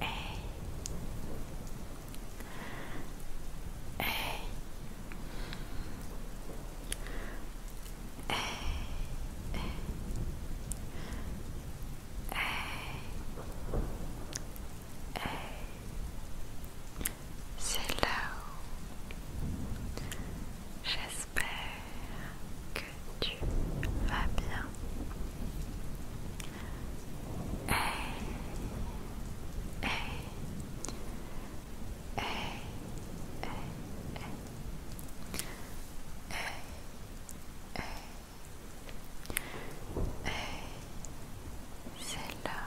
Hey. J'espère que tu vas bien. Hey, eh, eh, hey, eh, hey, hey, hey, hey, hey, hey. c'est là,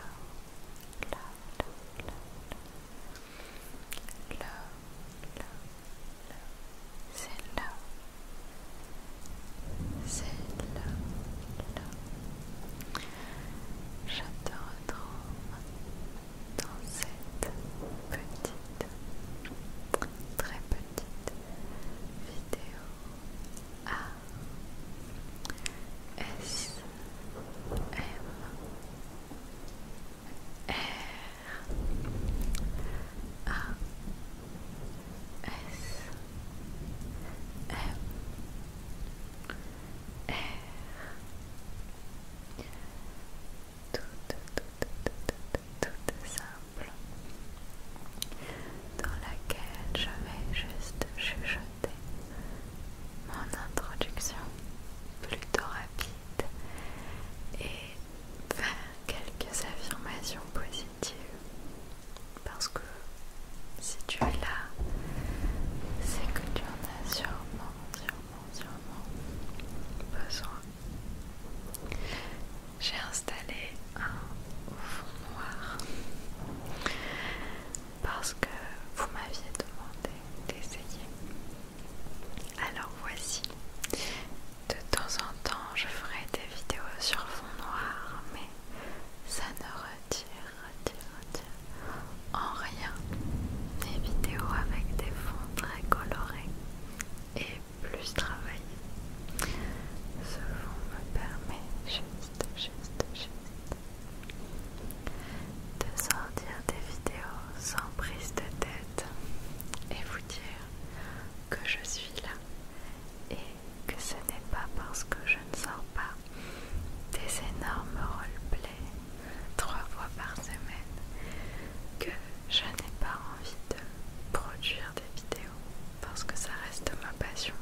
là, là, là, là, là. C'est là, c'est là c'est là là. Je te retrouve dans cette petite, très petite vidéo A S a S R tout, simple dans laquelle je vais juste chuchoter mon introduction plutôt rapide et faire quelques affirmations positives parce que si tu es là, c'est que tu en as sûrement, sûrement, sûrement besoin. J'ai installé un fond noir parce que vous m'aviez demandé d'essayer alors voici. De temps en temps, je ferai des vidéos sur fond noir, mais ça ne retire, en rien des vidéos avec des fonds très colorés et plus travaillés. Ce fond me permet juste, juste, juste de sortir des vidéos sans prise de tête et vous dire que je suis là et que ce n'est pas parce que je ne sors pas des énormes roleplays trois fois par semaine que je n'ai pas envie de produire des vidéos parce que ça reste ma passion.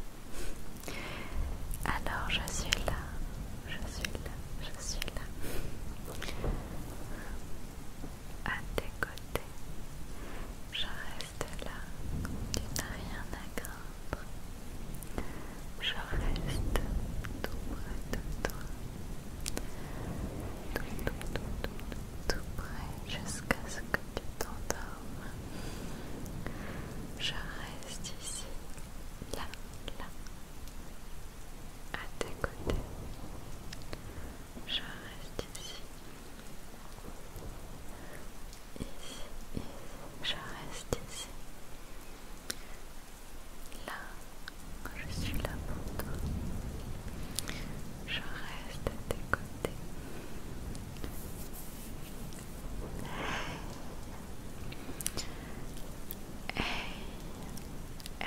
Alors je suis là, je suis là, je suis là à tes côtés. Je reste là, tu n'as rien à craindre. Je reste tout près de toi. Tout, tout près jusqu'à ce que tu t'endormes. Je reste ici, là, là, à tes côtés. Je reste ici. Ici, ici, je reste ici. Là, je suis là pour toi. Je reste à tes côtés. Hey eh,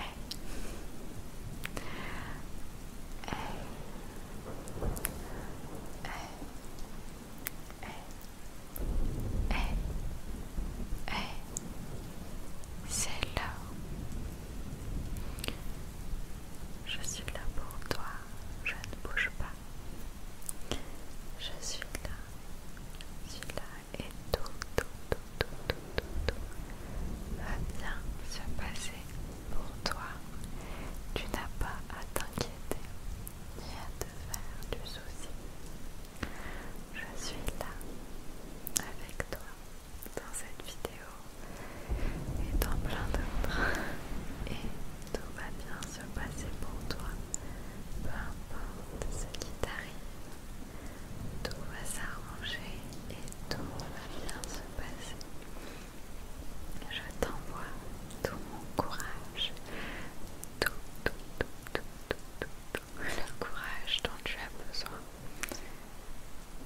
eh, C'est là. Je suis là pour toi. Je ne bouge pas. Je suis là. Je suis là et tout, tout, tout, tout, tout, tout, va bien se passer pour toi. Tu n'as pas à t'inquiéter ni à te faire du souci. Je suis là avec toi dans cette vidéo et dans plein d'autres et tout va bien se passer pour toi peu importe ce qui t'arrive, tout va s'arranger et tout va bien se passer. Je t'envoie tout mon courage, tout, tout, tout, tout, tout, tout, tout, le courage dont tu as besoin.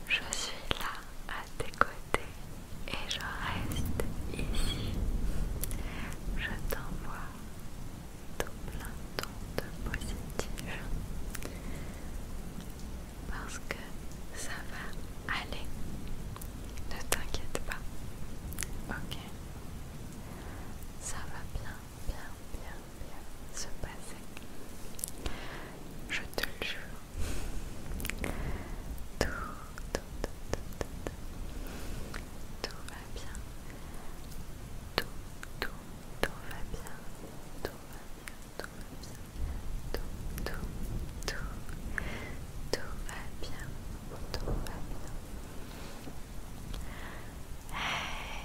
Je suis là à tes côtés et je reste ici. Je t'envoie tout plein de positif parce que ça va aller. Ne t'inquiète pas. Ok. Ça va bien, bien, bien, bien se passer. Je te le jure. tout, tout, tout, tout, tout va bien tout, va bien. Tout va bien, tout va bien. Hey,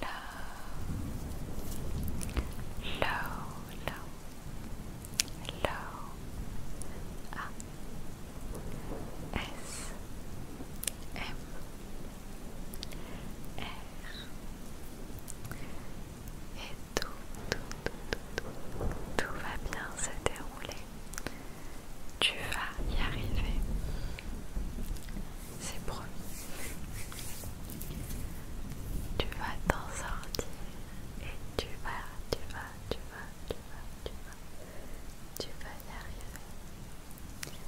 low, Lo, Lo, low, A, S, M, R, et tout, tout, tout, tout va bien se dérouler. Tu vas y arriver c'est promis. Tu vas t'en sortir et tu vas, tu vas, tu vas, tu vas, tu vas, tu vas y arriver.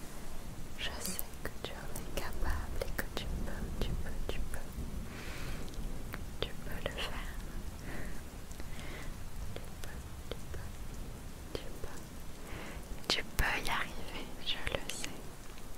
Je sais que tu en es capable et que tu peux, tu peux, tu peux. Tu peux le faire. Tu peux, tu peux, tu peux. Tu peux y arriver, je le sais.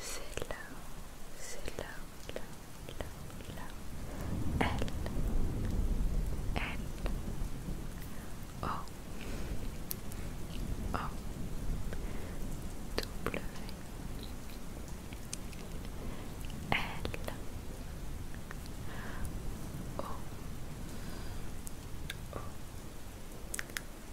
C'est là, c'est là, là, là, là. Elle, elle. Oh, oh. W. L. O. O. O.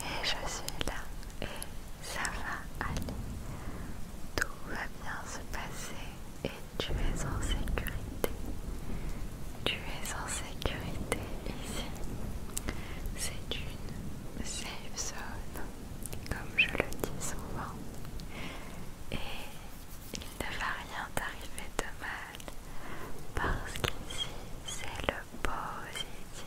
Et je suis là et ça va aller. Tout va bien se passer et tu es en sécurité. Tu es en sécurité ici. C'est une safe zone, comme je le dis souvent. Et il ne va rien t'arriver de mal parce qu'ici c'est le positif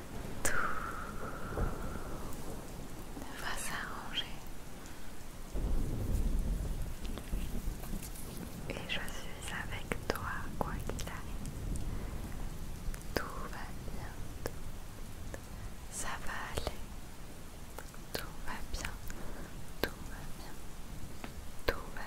tout va s'arranger et je suis avec toi quoi qu'il arrive. Tout va bien, tout, ça va aller, tout va bien, tout va bien, tout va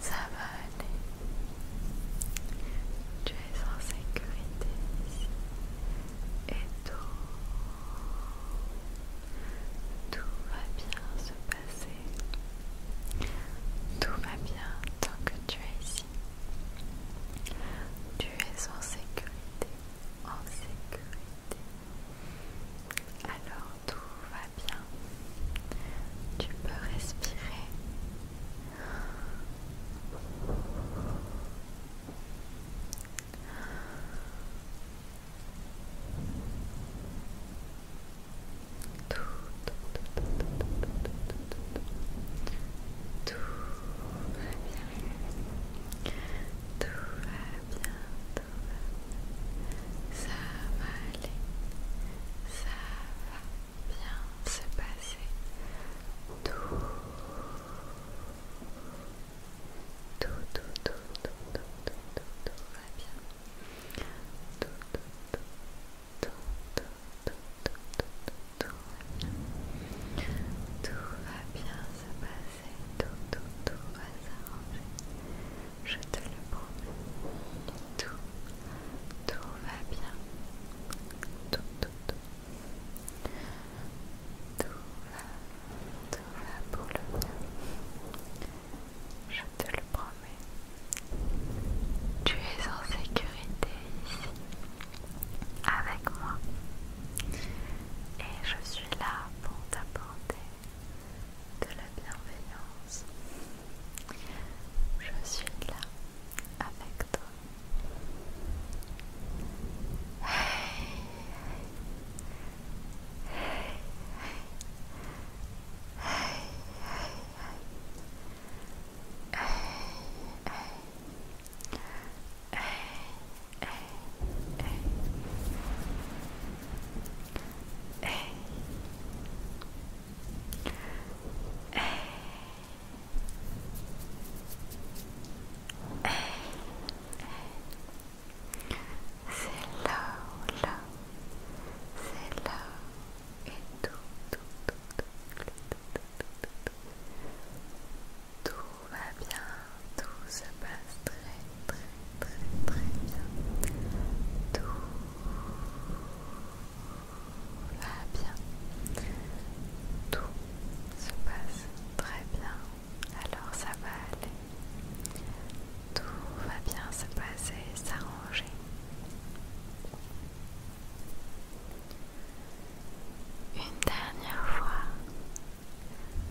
Ça va aller. Tu es en sécurité ici. Et tout, tout va bien se passer. Tout va bien tant que tu es ici. Tu es en sécurité. En sécurité. Alors tout va bien. Tu peux respirer. Tout, tout, tout, tout, tout, tout, tout, tout, tout va bien. Tout va bien, ça va aller, ça va bien se passer. Tout, tout, tout, tout, tout, tout, tout, va bien. Tout, tout, tout, tout, tout, tout, tout, tout, tout, tout va bien. Tout va bien se passer tout, tout, tout va s'arranger. Je te le promets. Tout, tout va bien. Tout, tout, tout. Tout va, va pour le mieux. Je te le promets. Tu es en sécurité ici, avec moi. Et je suis là pour t'apporter de la bienveillance. Je suis là avec toi. Eh, eh, eh. Eh. Eh. Eh. Eh. et va bien, tout se passe très très très très bien. Tout va bien. Tout se passe très bien. Alors ça va aller. Tout va bien se passer, s'arranger. Une dernière fois,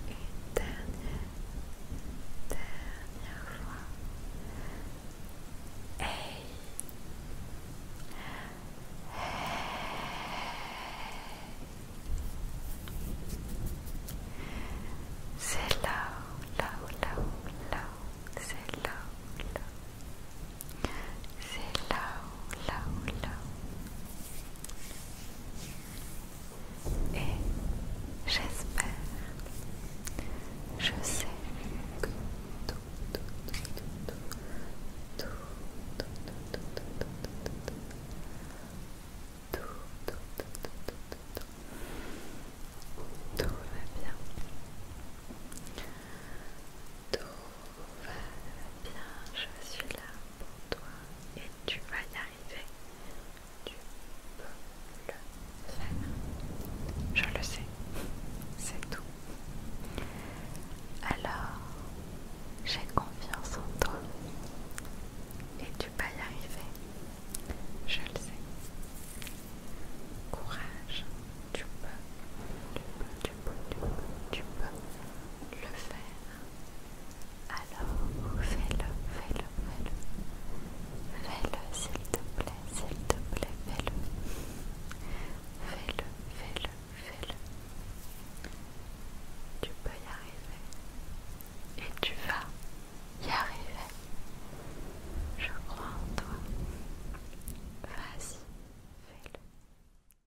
une dernière, fois. Hey. C'est là là là là c'est là là c'est là là là et j'espère, je sais que tout, va tout, tout, tout, tout, tout, tout, tout, pour toi et tu vas y arriver. Tu peux le faire. Je le sais, c'est tout. Alors, j'ai confiance en toi et tu vas y arriver. Je le sais. Courage, tu peux, tu peux, tu peux, tu peux, tu peux le faire. Alors, fais-le, fais-le, fais-le. Fais-le, s'il te plaît, s'il te plaît, fais-le. Fais-le, fais-le, fais-le. Tu peux y arriver. Et tu vas y arriver. Je crois en toi. Vas-y, fais-le.